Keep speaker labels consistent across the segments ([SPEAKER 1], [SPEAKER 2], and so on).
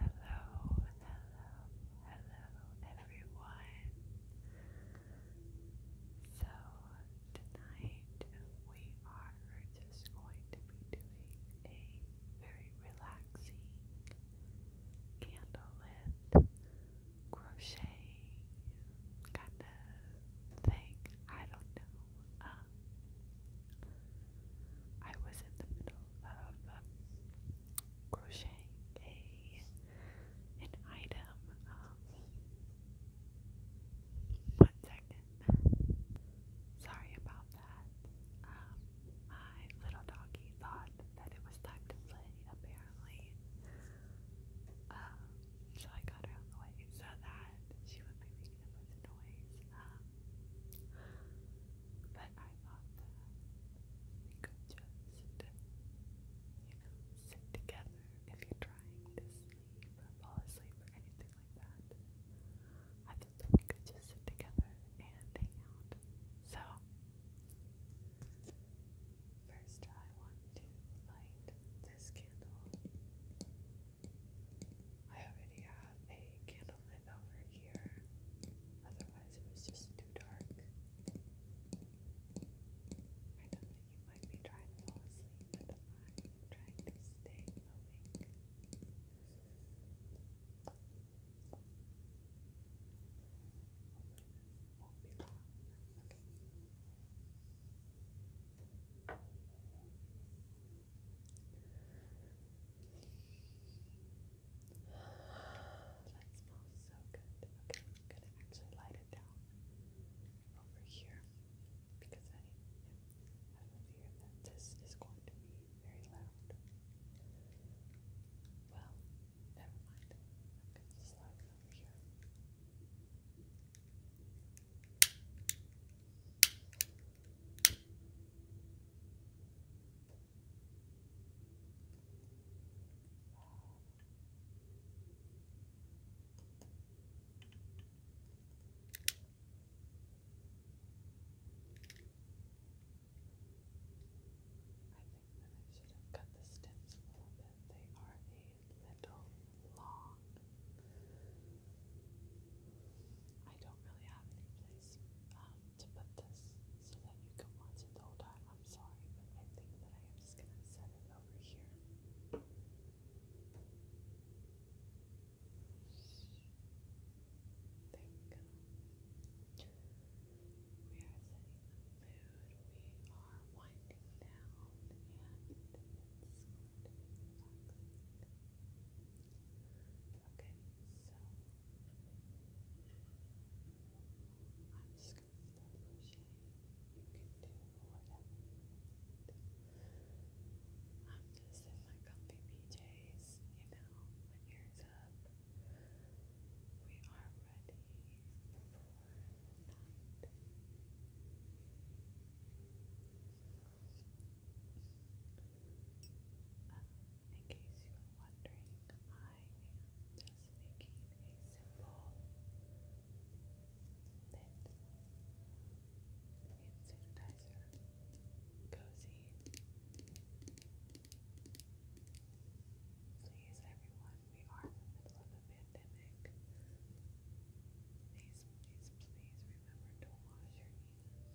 [SPEAKER 1] Hello, hello, hello everyone. So, tonight we are just going to be doing a very relaxing candlelit crochet kind of thing. I don't know. Um, I was in the middle of um, crocheting an item. Um, one second. Sorry about that. Um, my little doggy thought that it was time to play, apparently. so I got her out the way so that she would making a noise. But I thought that we could just, you know, sit together if you're trying to sleep or fall asleep or anything like that. I thought that we could just sit together and hang out. So, first I want to light this candle. I already have a candle it over here. Otherwise, it was just too dark. I don't you might be trying to fall asleep, but I'm trying to stay awake. That smells so good. Okay, I'm gonna actually light it down over here because I, have a fear that this is going to be very loud. Well, never mind. I'm going it over here should have cut the stems a little bit. They are a little long. I don't really have any place um, to put this so that you can watch it the whole time. I'm sorry, but I think that I am just going to set it over here. There we go. We are setting the mood. We are winding down, and it's going Okay, so I'm just going to start crocheting. You can do whatever I'm just in my comfy PJs, you know, my ears up. We are ready for the uh, in case you were wondering, I am just making a simple knit hand sanitizer cozy. Please, everyone, we are in the middle of a pandemic. Please, please, please remember to wash your hands. Okay.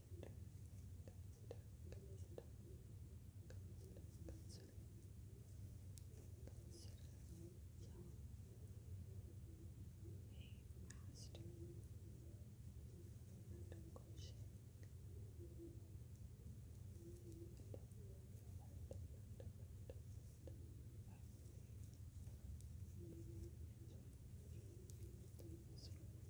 [SPEAKER 1] Consider, consider, consider, consider, consider, consider yourself a master at crocheting and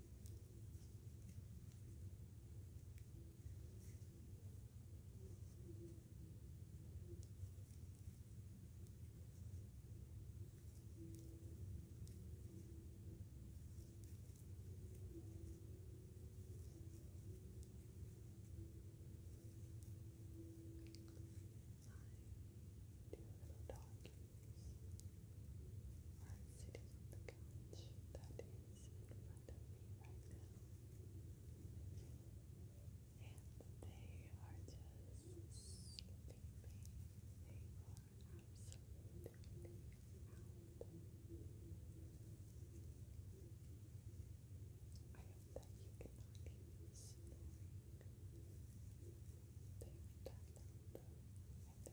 [SPEAKER 1] Two little doggies are sitting on the couch that is in front of me right now. And they are just sleeping. They are absolutely out. I hope that you cannot hear them snoring. They are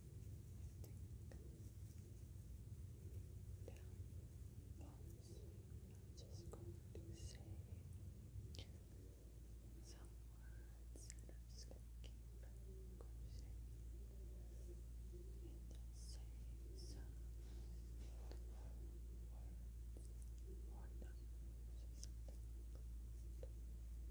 [SPEAKER 1] I'm just going to say some words and I'm just going to keep crocheting and I'll say some words or numbers or something like that.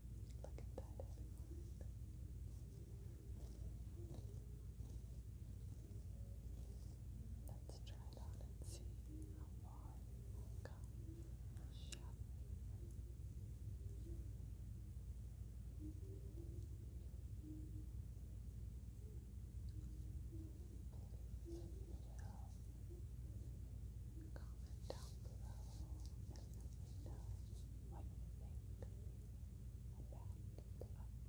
[SPEAKER 1] Look at Let's try it on and see how far we'll come. Comment down below what you think about the up-close still have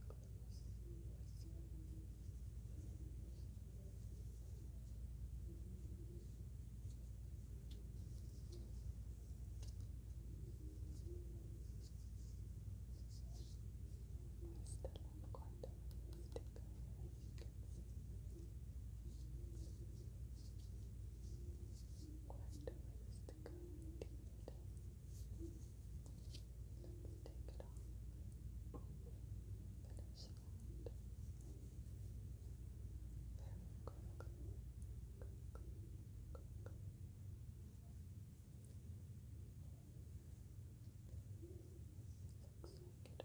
[SPEAKER 1] quite a ways to go, Quite a ways to Let's take it off. Finish that. Very quickly. Quickly. Quickly. Looks like it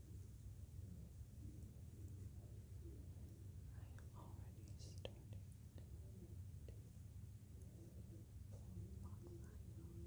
[SPEAKER 1] I am already starting to block my own.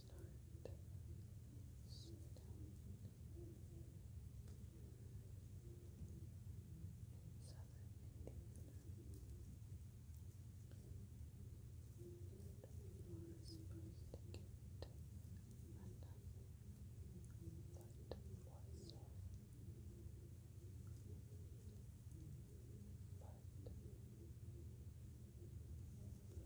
[SPEAKER 1] start stomach and southern Indiana. You are supposed to get enough foot morsel. But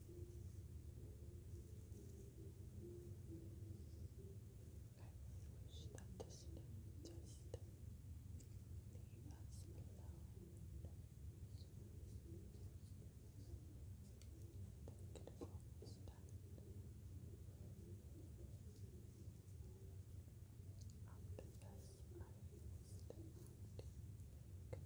[SPEAKER 1] wish that this thing just leave us alone. think it is almost done. After this, I will step out to make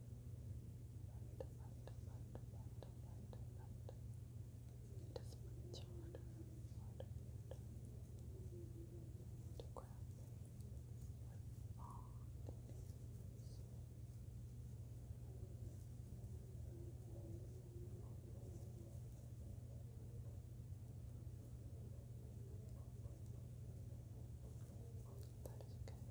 [SPEAKER 1] much harder, harder, harder to grab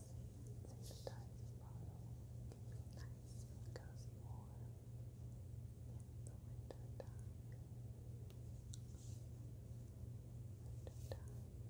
[SPEAKER 1] sanitizing the winter time. Winter time. Winter time. I hope that you guys have had